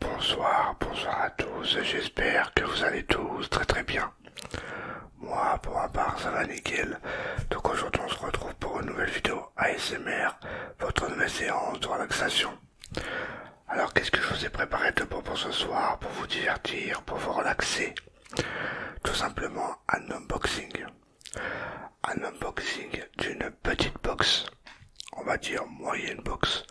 Bonsoir, bonsoir à tous, j'espère que vous allez tous très très bien. Moi, pour ma part, ça va nickel. Donc aujourd'hui, on se retrouve pour une nouvelle vidéo ASMR, votre nouvelle séance de relaxation. Alors qu'est-ce que je vous ai préparé de bon pour ce soir, pour vous divertir, pour vous relaxer Tout simplement un unboxing. Un unboxing d'une petite box, on va dire moyenne box,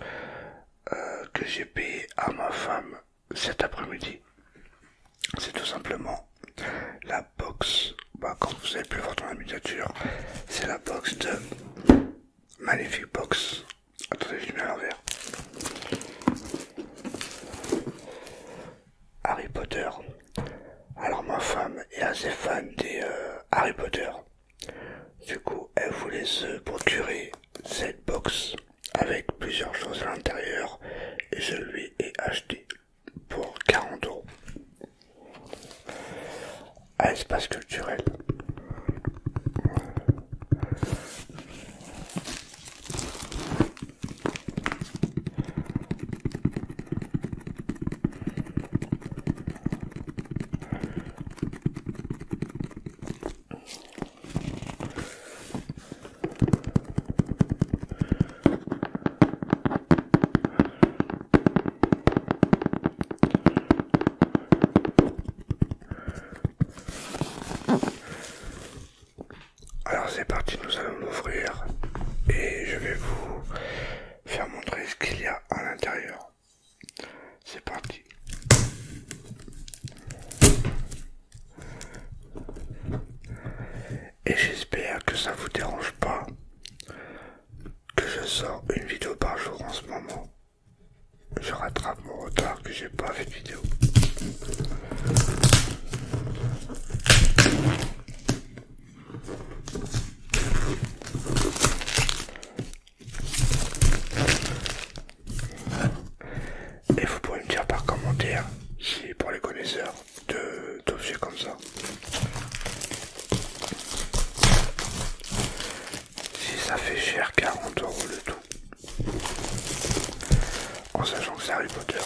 euh, que j'ai payé à ma femme cet après-midi. C'est tout simplement la box, quand bah, vous avez pu voir dans la miniature, c'est la box de Magnifique Box Attendez, je mets Harry Potter. Alors ma femme est assez fan des euh, Harry Potter. Du coup, elle voulait se procurer cette box avec plusieurs choses à l'intérieur et je lui ai acheté pour 40 euros à ah, espace culturel. Alors c'est parti, nous allons l'ouvrir et je vais vous faire montrer ce qu'il y a à l'intérieur. C'est parti. Et j'espère que ça ne vous dérange pas que je sors une vidéo par jour en ce moment je rattrape mon retard que j'ai pas fait de vidéo. Et vous pouvez me dire par commentaire si pour les connaisseurs de d'objets comme ça si ça fait cher, 40 euros le tout. En sachant que c'est Harry Potter.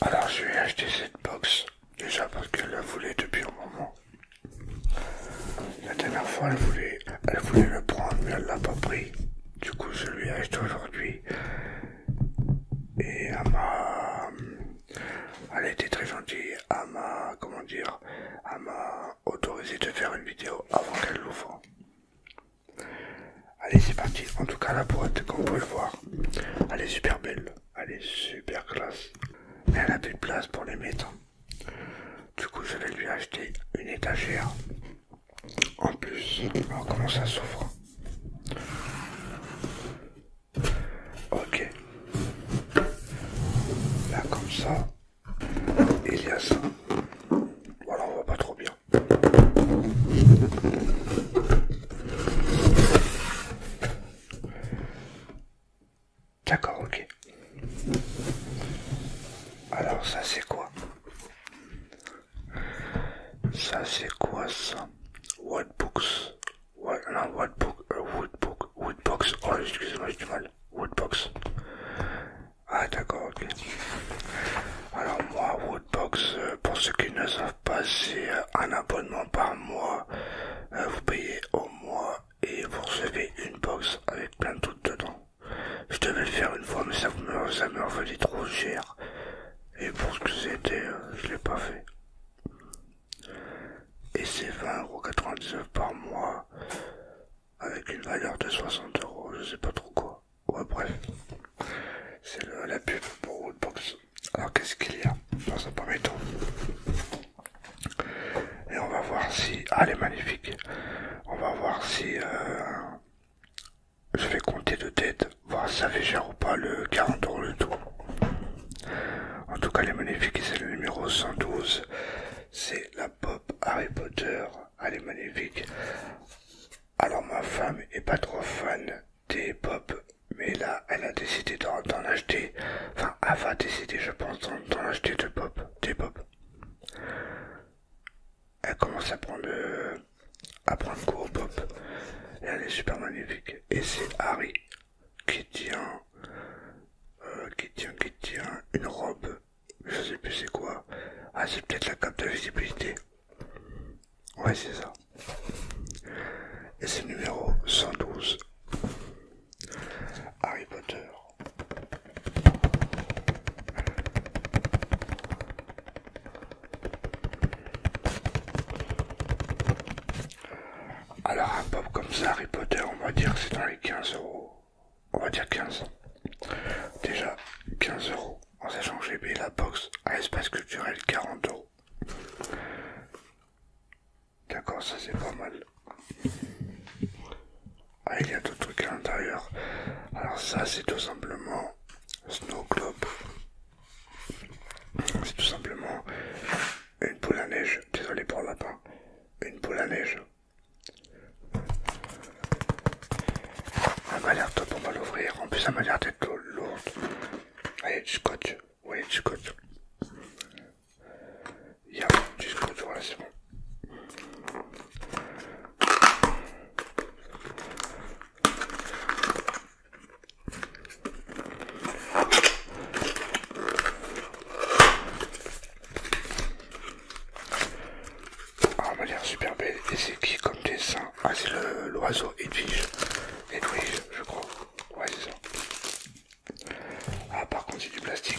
Alors je ai acheté cette box déjà parce qu'elle la voulait depuis un moment. La dernière fois elle voulait, elle voulait le prendre mais elle l'a pas pris. Du coup je lui ai acheté aujourd'hui et elle elle a été très gentille, elle m'a, comment dire, elle autorisé de faire une vidéo avant qu'elle l'ouvre. Allez, c'est parti. En tout cas, la boîte, comme vous pouvez le voir, elle est super belle. Elle est super classe. Mais elle n'a plus de place pour les mettre. Du coup, je vais lui acheter une étagère. En plus, comment ça s'ouvre Ok, Là, comme ça. il y a ça. Voilà, on voit pas trop bien. D'accord, ok. Alors ça c'est quoi Ça c'est quoi ça What books ouais non, what book, euh, wood book, wood box. Oh, excusez-moi, j'ai du mal. Woodbox. Ah, d'accord, ok. Alors, moi, Woodbox, box. Euh, pour ceux qui ne savent pas, c'est euh, un abonnement par mois. vous payez au mois et vous recevez une box avec plein de trucs dedans. Je devais le faire une fois, mais ça me, ça trop cher. Et pour ce que c'était, je l'ai pas fait et c'est 20,99€ par mois avec une valeur de 60€, euros, je sais pas trop quoi. Ouais, bref, c'est la pub pour box Alors, qu'est-ce qu'il y a Ça un premier tout Et on va voir si. Ah, elle est magnifique! On va voir si. Euh, je vais compter de tête, voir si ça fait cher ou pas le 40€ le tout. En tout cas, elle est magnifique et c'est le numéro 112. C'est la pop Harry Potter. Elle est magnifique. Alors, ma femme est pas trop fan des pop, mais là, elle a décidé d'en acheter. Enfin, elle va décider, je pense, d'en acheter de pop, des pop. Elle commence à prendre, euh, à prendre cours au pop. elle est super magnifique. Et c'est Harry qui tient, euh, qui tient, qui tient une robe. Je sais plus c'est quoi. Ah, c'est peut-être la cape de visibilité. Ouais, c'est ça. Et c'est numéro 112. Harry Potter. Alors un pop comme ça, Harry Potter, on va dire que c'est dans les 15 euros. On va dire 15. Déjà 15 euros. En sachant que j'ai payé la box à espace culturel 40 euros. D'accord, ça c'est pas mal. Ah, il y a d'autres trucs à l'intérieur. Alors ça c'est tout simplement Snow Club c'est tout simplement une poule à neige. Désolé pour le lapin. Une poule à neige. Elle m'a l'air top, on va l'ouvrir. En plus, elle m'a l'air d'être lourde. Il y a du scotch. Oui, du scotch. Il y a du scotch, voilà, c'est bon. Ah, elle m'a l'air super belle. Et c'est qui comme dessin Ah, c'est l'oiseau Edwige. Edwige, je crois. Ouais, c'est ça. Ah, par contre, c'est du plastique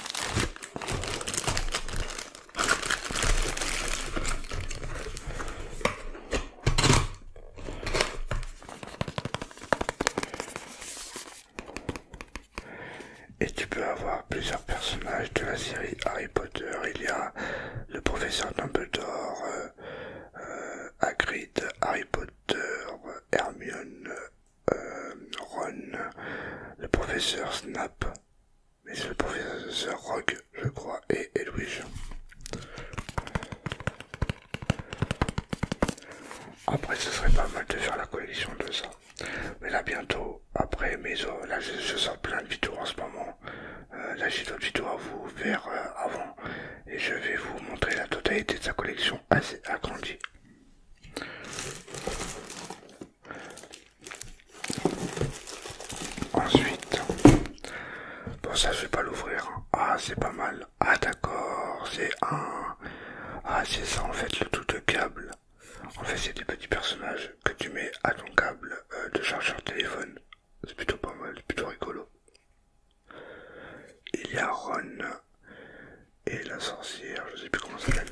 Et tu peux avoir plusieurs personnages de la série Harry Potter. Il y a le professeur Dumbledore, euh, euh, Hagrid, Harry Potter, Hermione, euh, Ron, le professeur Snap, mais c'est le professeur Rogue, je crois, et Edwige. Après, ce serait pas mal de faire la collection de ça. Mais là, bientôt, après mes là, je, sors plein de vidéos en ce moment. Euh, là, j'ai d'autres vidéos à vous faire euh, avant. Et je vais vous montrer la totalité de sa collection assez agrandie. Ensuite, bon ça je vais pas l'ouvrir. Hein. Ah c'est pas mal. Ah d'accord, c'est un. Ah c'est ça en fait le tout de câble. En fait c'est des petits personnages que tu mets à ton câble euh, de chargeur téléphone. C'est plutôt pas mal, c'est plutôt rigolo. Il y a Ron et la sorcière, je sais plus comment ça s'appelle.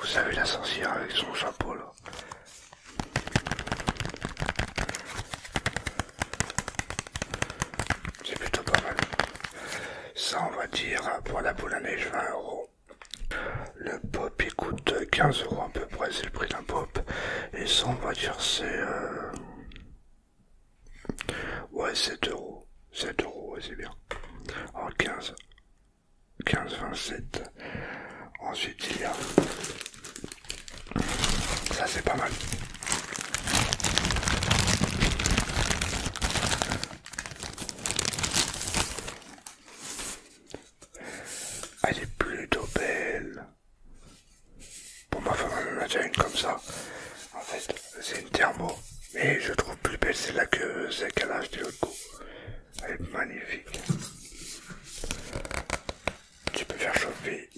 Vous savez la sorcière avec son chapeau là. C'est plutôt pas mal. Ça on va dire pour la boule à neige 20 euros. Le pop il coûte 15 euros à peu près, c'est le prix d'un pop. Et ça on va dire c'est... Euh, Ouais, 7 euros. 7 euros, c'est bien. en 15. 15, 27. Ensuite, il y a. Ça, c'est pas mal. Elle est plutôt belle. Pour ma femme, elle en a déjà une comme ça. En fait, c'est une thermo. Mais je trouve plus belle celle-là que celle qu'elle a achetée l'autre coup. Elle est magnifique. Tu peux faire chauffer.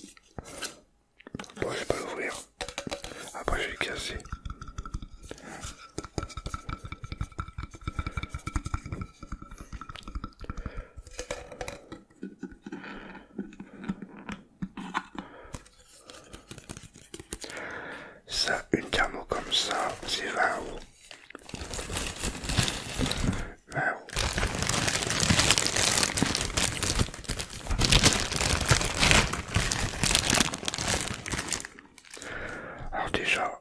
Bon, je vais pas l'ouvrir. Après, je vais le casser. Ça, une thermo comme ça, c'est 20 Alors déjà,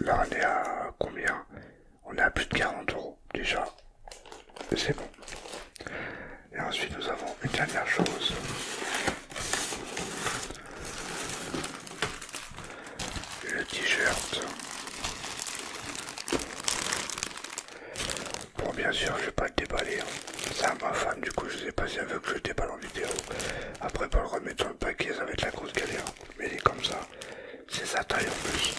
là on à combien on est à plus de 40 euros déjà. C'est bon. Et ensuite, nous avons une dernière chose. Le t-shirt. Bon, bien sûr, je vais pas le déballer. Hein. C'est à ma femme, du coup, je sais pas si elle veut que je déballe en vidéo. Après, pour le remettre dans le paquet, ça va être la grosse galère. Mais il est comme ça. C'est sa taille en plus.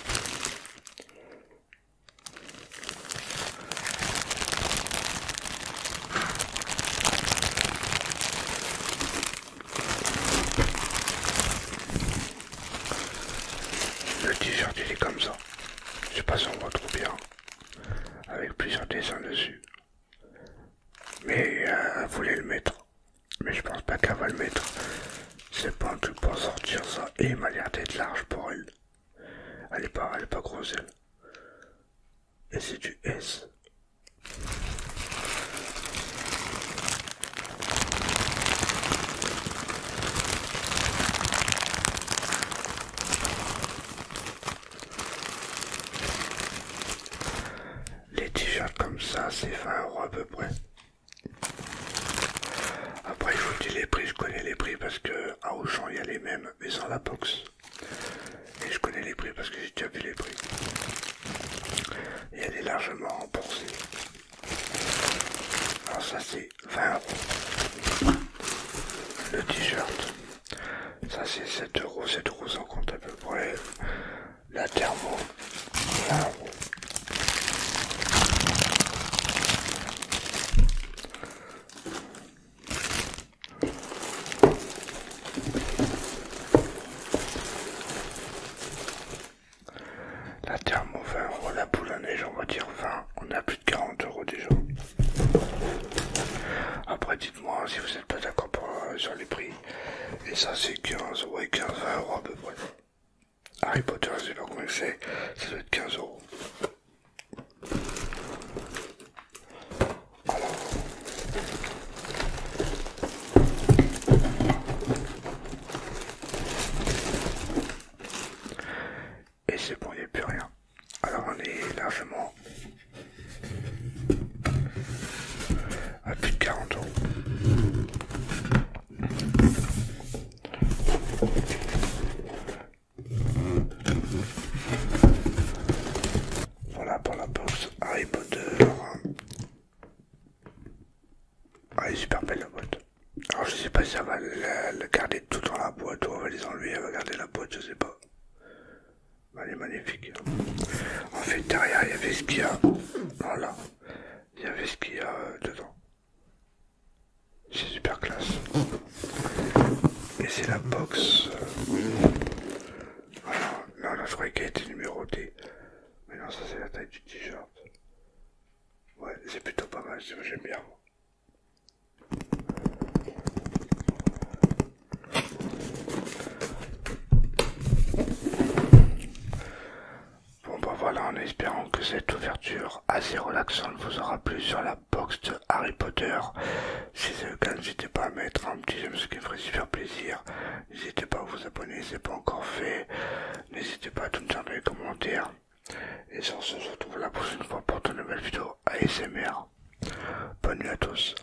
Le t-shirt il est comme ça. Je sais pas si on voit trop bien. Avec plusieurs dessins dessus. Mais euh, vous le mettre. Mais je pense pas qu'elle va le mettre. C'est pas un truc pour sortir ça. Et il m'a l'air d'être large pour elle. Elle est pas, elle pas grosse elle. Et c'est du S. Les t-shirts comme ça, c'est 20 euros à peu près. Après, je vous dis les prix, je connais les prix parce que à Auchan il y a les mêmes, mais sans la box. Et je connais les prix parce que j'ai déjà vu les prix. Et elle est largement remboursée. Alors, ça c'est 20 euros. Le t-shirt, ça c'est 7 euros, 7 euros en compte à peu près la thermo. La thermo 20 la boule à neige, on va dire 20, on a plus de 40 euros déjà. Après, dites-moi si vous n'êtes pas d'accord euh, sur les prix. Et ça, c'est 15, et 15, euros à peu près. Harry Potter, je sais pas le fait ça doit être 15 euros. Et c'est bon, il n'y a plus rien. Alors on est largement à ah, plus de 40 ans Voilà pour la box Harry Potter. Ah, elle est super belle la boîte. Alors je sais pas si elle va le garder tout dans la boîte ou on va les enlever, elle va garder la boîte, je sais pas. Elle est magnifique. Hein. En fait, derrière, il y avait ce qu'il y a. Voilà. Il y avait ce qu'il y a euh, dedans. C'est super classe. Et c'est la box. Voilà. Là, je croyais qu'elle était numérotée. Mais non, ça, c'est la taille du t-shirt. Ouais, c'est plutôt pas mal. J'aime bien. Bon bah voilà, en espérant que cette ouverture assez relaxante vous aura plu sur la box de Harry Potter. Si c'est le cas, n'hésitez pas à mettre un petit j'aime ce qui me ferait super plaisir. N'hésitez pas à vous abonner si ce n'est pas encore fait. N'hésitez pas à tout me dire dans les commentaires. Et sur ce, je se retrouve la prochaine fois pour de nouvelles vidéos ASMR. Bonne nuit à tous.